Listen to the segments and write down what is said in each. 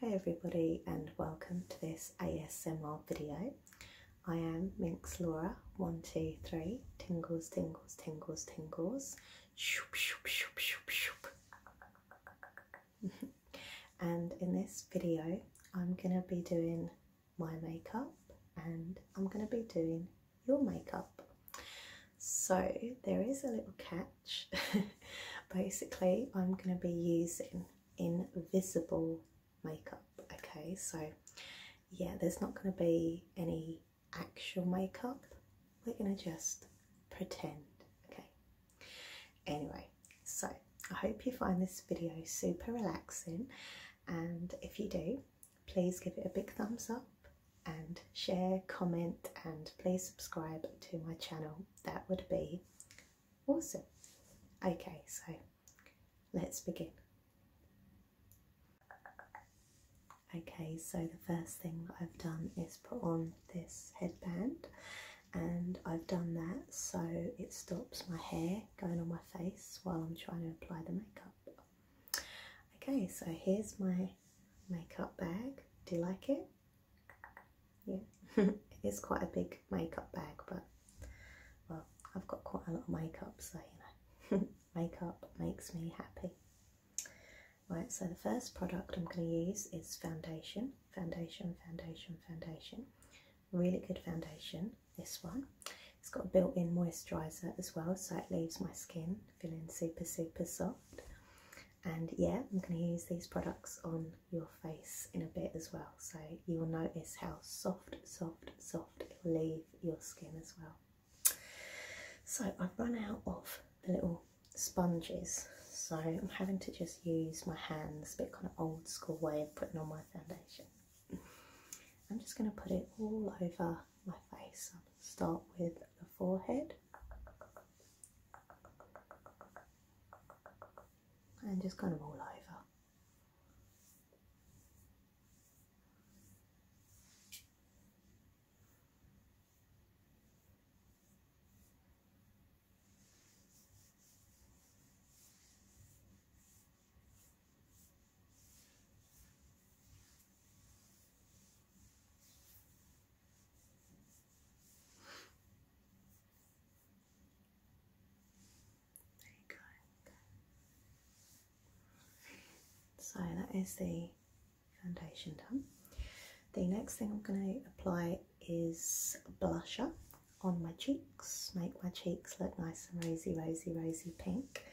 Hey everybody and welcome to this ASMR video. I am Minx Laura, one, two, three, tingles, tingles, tingles, tingles, shoop, shoop, shoop, shoop, shoop. and in this video I'm going to be doing my makeup and I'm going to be doing your makeup. So there is a little cat. Basically, I'm going to be using invisible makeup. Okay, so yeah, there's not going to be any actual makeup. We're going to just pretend. Okay. Anyway, so I hope you find this video super relaxing. And if you do, please give it a big thumbs up and share, comment, and please subscribe to my channel that would be awesome. Okay, so let's begin. Okay, so the first thing that I've done is put on this headband and I've done that so it stops my hair going on my face while I'm trying to apply the makeup. Okay, so here's my makeup bag. Do you like it? yeah it's quite a big makeup bag but well I've got quite a lot of makeup so you know makeup makes me happy right so the first product I'm going to use is foundation foundation foundation foundation really good foundation this one it's got built-in moisturizer as well so it leaves my skin feeling super super soft and yeah, I'm going to use these products on your face in a bit as well. So you will notice how soft, soft, soft it will leave your skin as well. So I've run out of the little sponges. So I'm having to just use my hands, a bit kind of old school way of putting on my foundation. I'm just going to put it all over my face. start with the forehead and just kind of all over. Very good. So that is the foundation done. The next thing I'm going to apply is blusher on my cheeks, make my cheeks look nice and rosy, rosy, rosy pink.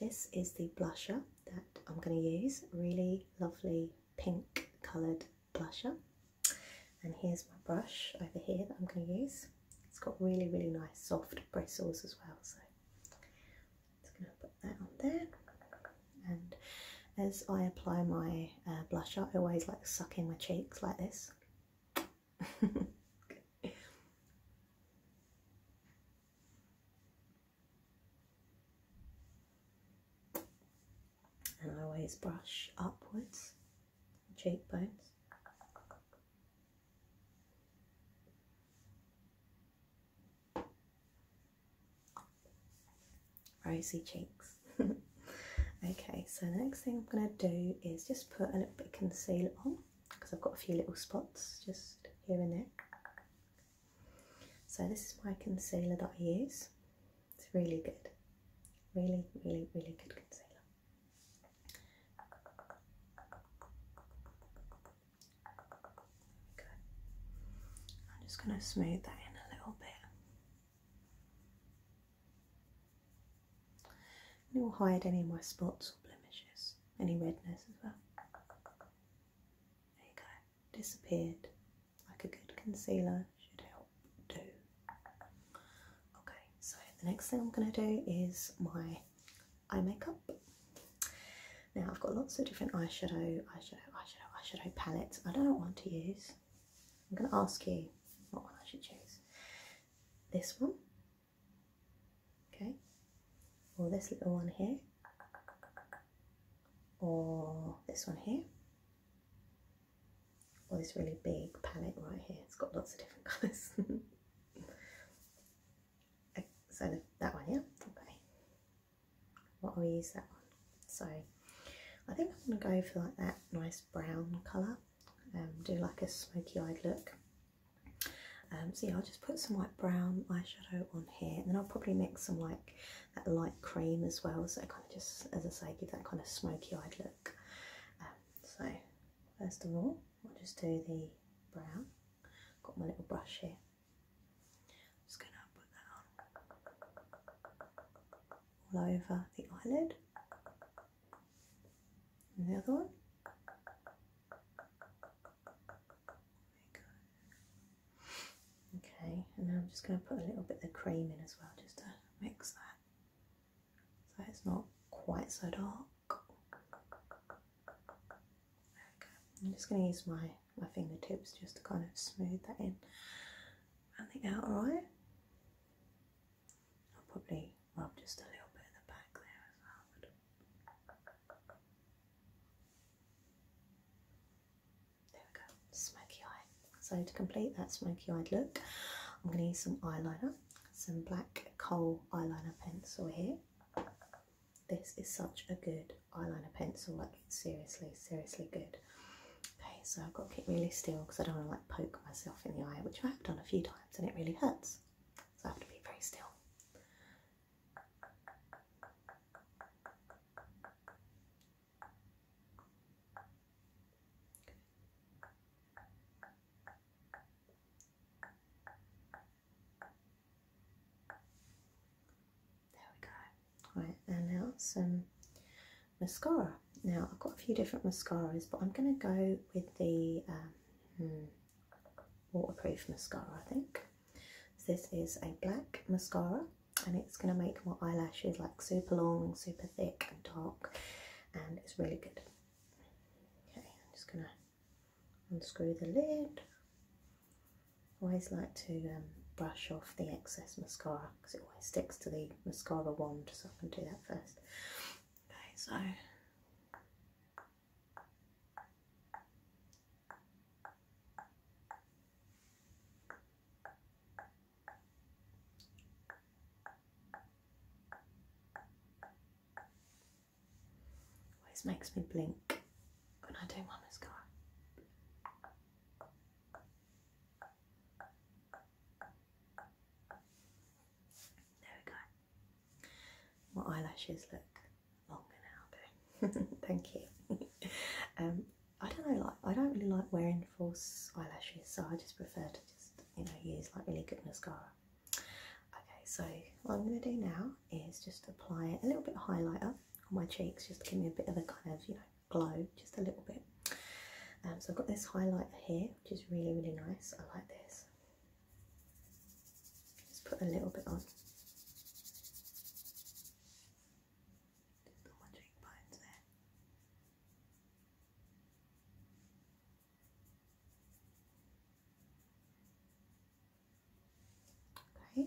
This is the blusher that I'm going to use, really lovely pink coloured blusher. And here's my brush over here that I'm going to use. It's got really, really nice soft bristles as well. So I'm going to put that on there. And as I apply my uh, blusher, I always like suck in my cheeks like this. And I always brush upwards, cheekbones. Rosy cheeks. okay, so next thing I'm going to do is just put a little bit concealer on because I've got a few little spots just here and there. So this is my concealer that I use. It's really good. Really, really, really good concealer. I'm just going to smooth that in a little bit. And it will hide any of my spots or blemishes, any redness as well. There you go disappeared. Like a good concealer should help do. Okay, so the next thing I'm going to do is my eye makeup. Now I've got lots of different eyeshadow, eyeshadow, eyeshadow, eyeshadow palettes. I don't want to use. I'm going to ask you what one I should choose. This one, okay or this little one here or this one here or this really big palette right here it's got lots of different colors uh, so that one here. okay what will we use that one so I think I'm going to go for like that nice brown colour um, do like a smoky eyed look um, so yeah, I'll just put some like brown eyeshadow on here and then I'll probably mix some like that light cream as well so it kind of just, as I say, give that kind of smoky eyed look. Um, so first of all, I'll just do the brown. Got my little brush here. just going to put that on all over the eyelid. And one. Okay, and now I'm just going to put a little bit of cream in as well, just to mix that, so it's not quite so dark. I'm just going to use my, my fingertips just to kind of smooth that in around the outer eye. I'll probably rub just a little bit in the back there as well. There we go, smoky eye. So to complete that smoky eye look, I'm going to use some eyeliner, some black coal eyeliner pencil here. This is such a good eyeliner pencil, like seriously, seriously good. Okay, so I've got to keep really still because I don't want to like poke myself in the eye, which I have done a few times and it really hurts. So I have to be very still. There we go. Right, and now some mascara. Now I've got a few different mascaras, but I'm going to go with the um, hmm waterproof mascara, I think. this is a black mascara and it's going to make my eyelashes like super long, super thick and dark and it's really good. Okay, I'm just going to unscrew the lid. always like to um, brush off the excess mascara because it always sticks to the mascara wand so I can do that first. Okay, so Always makes me blink when I do my mascara. There we go. My eyelashes look longer now though. Thank you. um, I don't know, like I don't really like wearing false eyelashes, so I just prefer to just you know use like really good mascara. Okay, so what I'm gonna do now is just apply a little bit of highlighter on my cheeks, just to give me a bit of a kind of you know glow, just a little bit. Um, so I've got this highlighter here, which is really really nice. I like this. Just put a little bit on. Okay,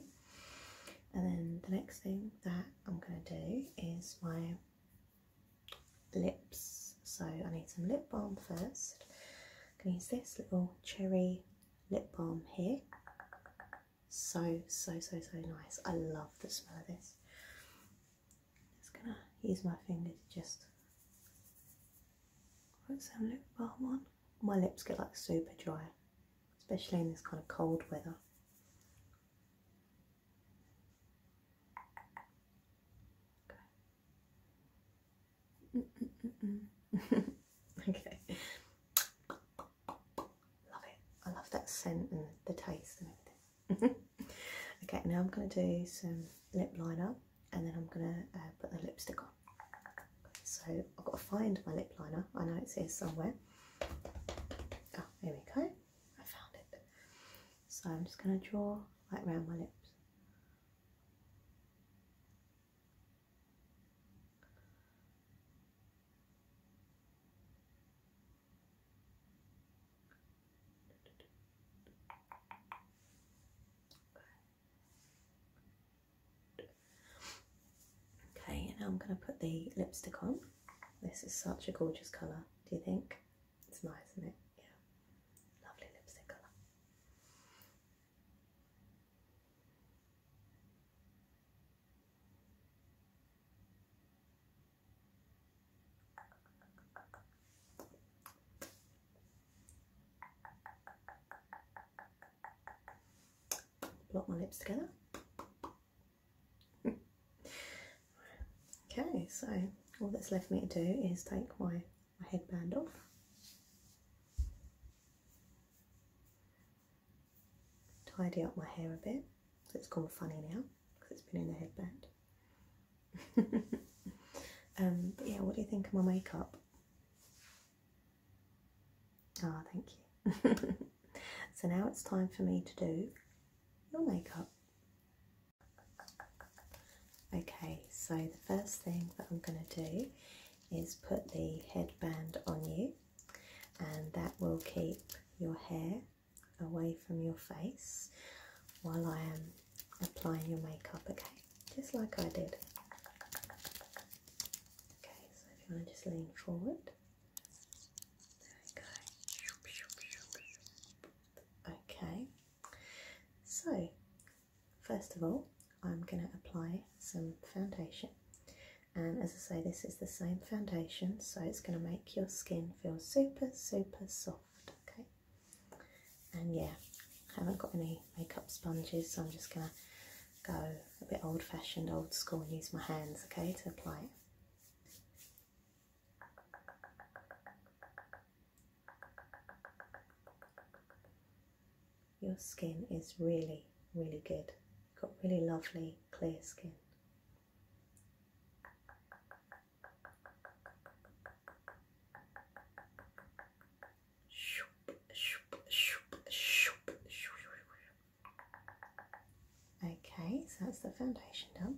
and then the next thing that I'm going to do is my lips. So I need some lip balm first. I'm going to use this little cherry lip balm here. So, so, so, so nice. I love the smell of this. i just going to use my finger to just put some lip balm on. My lips get like super dry, especially in this kind of cold weather. okay. Love it. I love that scent and the taste and everything. okay, now I'm going to do some lip liner and then I'm going to uh, put the lipstick on. So I've got to find my lip liner. I know it's here somewhere. There oh, we go. I found it. So I'm just going to draw right around my lips. Okay, now I'm going to put the lipstick on. This is such a gorgeous colour, do you think? It's nice, isn't it? Yeah. Lovely lipstick colour. Block my lips together. Okay, so all that's left me to do is take my, my headband off. Tidy up my hair a bit. It's gone funny now because it's been in the headband. um, yeah, what do you think of my makeup? Ah, oh, thank you. so now it's time for me to do your makeup. Okay, so the first thing that I'm going to do is put the headband on you and that will keep your hair away from your face while I am applying your makeup, okay? Just like I did. Okay, so if you want to just lean forward. There we go. Okay, so, first of all, I'm going to apply some foundation. And as I say, this is the same foundation, so it's going to make your skin feel super, super soft. Okay. And yeah, I haven't got any makeup sponges, so I'm just going to go a bit old fashioned, old school, and use my hands, okay, to apply it. Your skin is really, really good. got really lovely clear skin. Okay, so that's the foundation done.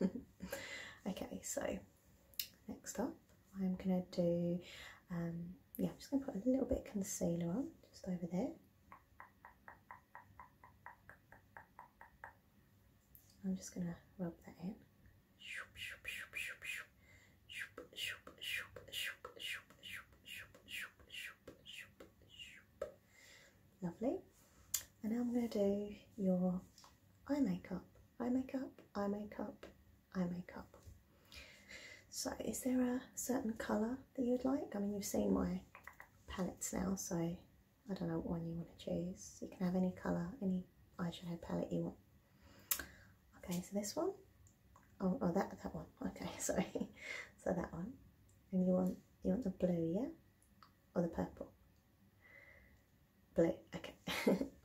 okay, so next up, I'm gonna do, um, yeah, I'm just gonna put a little bit concealer on, just over there. I'm just gonna rub that in. Lovely. And now I'm going to do your eye makeup, eye makeup, eye makeup, eye makeup. So is there a certain colour that you'd like? I mean, you've seen my palettes now, so I don't know what one you want to choose. You can have any colour, any eyeshadow palette you want. Okay, so this one. Oh, oh that, that one. Okay, sorry. so that one. And you want, you want the blue, yeah? or the purple? Blue, okay.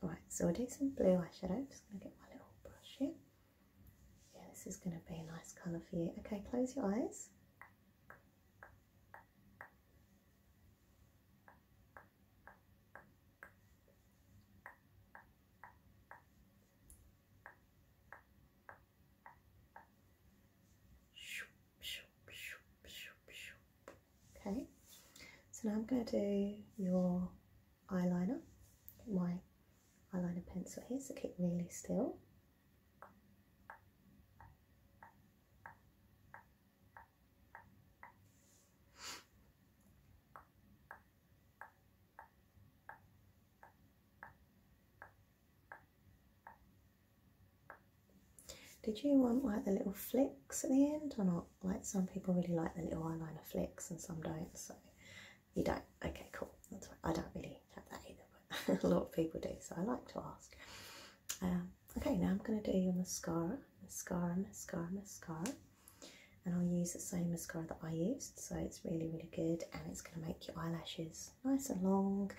Alright, so I'll do some blue eyeshadow. just going to get my little brush here. Yeah, this is going to be a nice colour for you. Okay, close your eyes. Okay, so now I'm going to do your eyeliner. my eyeliner pencil here, so keep really still. Did you want like the little flicks at the end or not? Like some people really like the little eyeliner flicks and some don't, so you don't. Okay, cool. That's right. I don't really have that either, but a lot of people do, so I like to ask. Um, okay, now I'm going to do your mascara, mascara, mascara, mascara. And I'll use the same mascara that I used, so it's really, really good and it's going to make your eyelashes nice and long,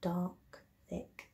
dark, thick,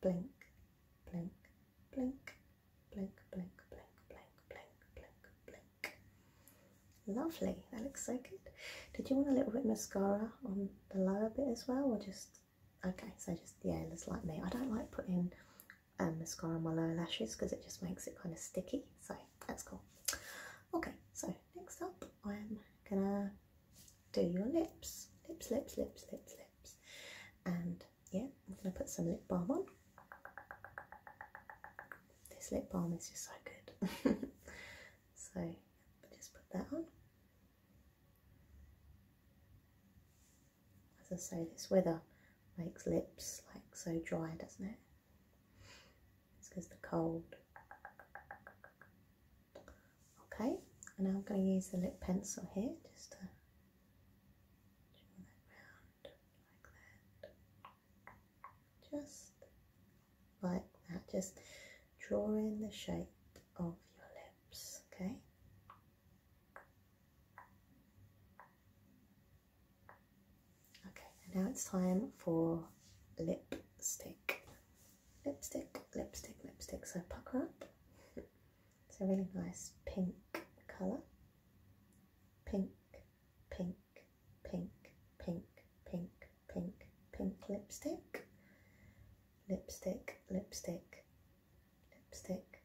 blink, blink, blink, blink, blink, blink, blink, blink, blink, blink. Lovely, that looks so good. Did you want a little bit mascara on the lower bit as well or just, okay, so just, yeah, it looks like me. I don't like putting um, mascara on my lower lashes because it just makes it kind of sticky, so that's cool. Okay, so next up I'm gonna do your lips, lips, lips, lips, lips, lips. And yeah, I'm going to put some lip balm on. This lip balm is just so good. so just put that on. As I say, this weather makes lips like so dry, doesn't it? It's because the cold. Okay, and now I'm going to use the lip pencil here just to Draw that round like that. Just like that. Just draw in the shape of your lips, okay? Okay, now it's time for lipstick. Lipstick, lipstick, lipstick. So pucker up. It's a really nice pink colour. Pink, pink, pink, pink, pink, pink, pink lipstick. Lipstick, lipstick, lipstick,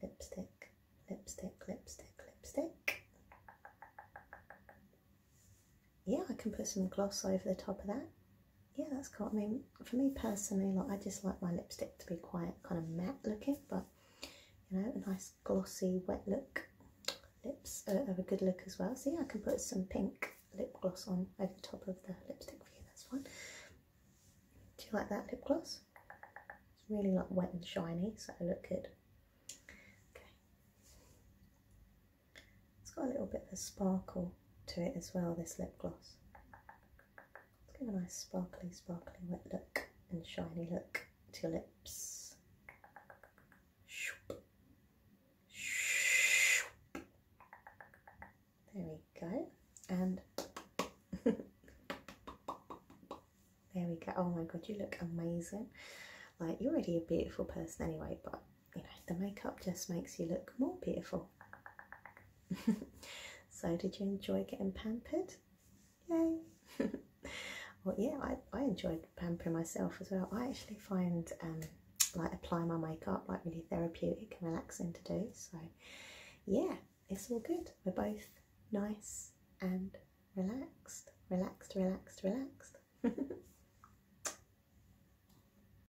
lipstick, lipstick, lipstick, lipstick. Yeah, I can put some gloss over the top of that yeah, that's cool. I mean, for me personally, like I just like my lipstick to be quite kind of matte looking, but you know, a nice glossy wet look. Lips are, a good look as well. See, I can put some pink lip gloss on over the top of the lipstick for you. That's fine. Do you like that lip gloss? It's really like wet and shiny, so it looks good. Okay. It's got a little bit of a sparkle to it as well. This lip gloss. Let's give a nice sparkly, sparkly wet look and shiny look to your lips. There we go. And there we go. Oh my god, you look amazing. Like, you're already a beautiful person anyway, but you know, the makeup just makes you look more beautiful. so, did you enjoy getting pampered? Yay! well, yeah, I, I enjoyed pampering myself as well. I actually find um, like applying my makeup like really therapeutic and relaxing to do. So, yeah, it's all good. We're both nice and relaxed, relaxed, relaxed, relaxed.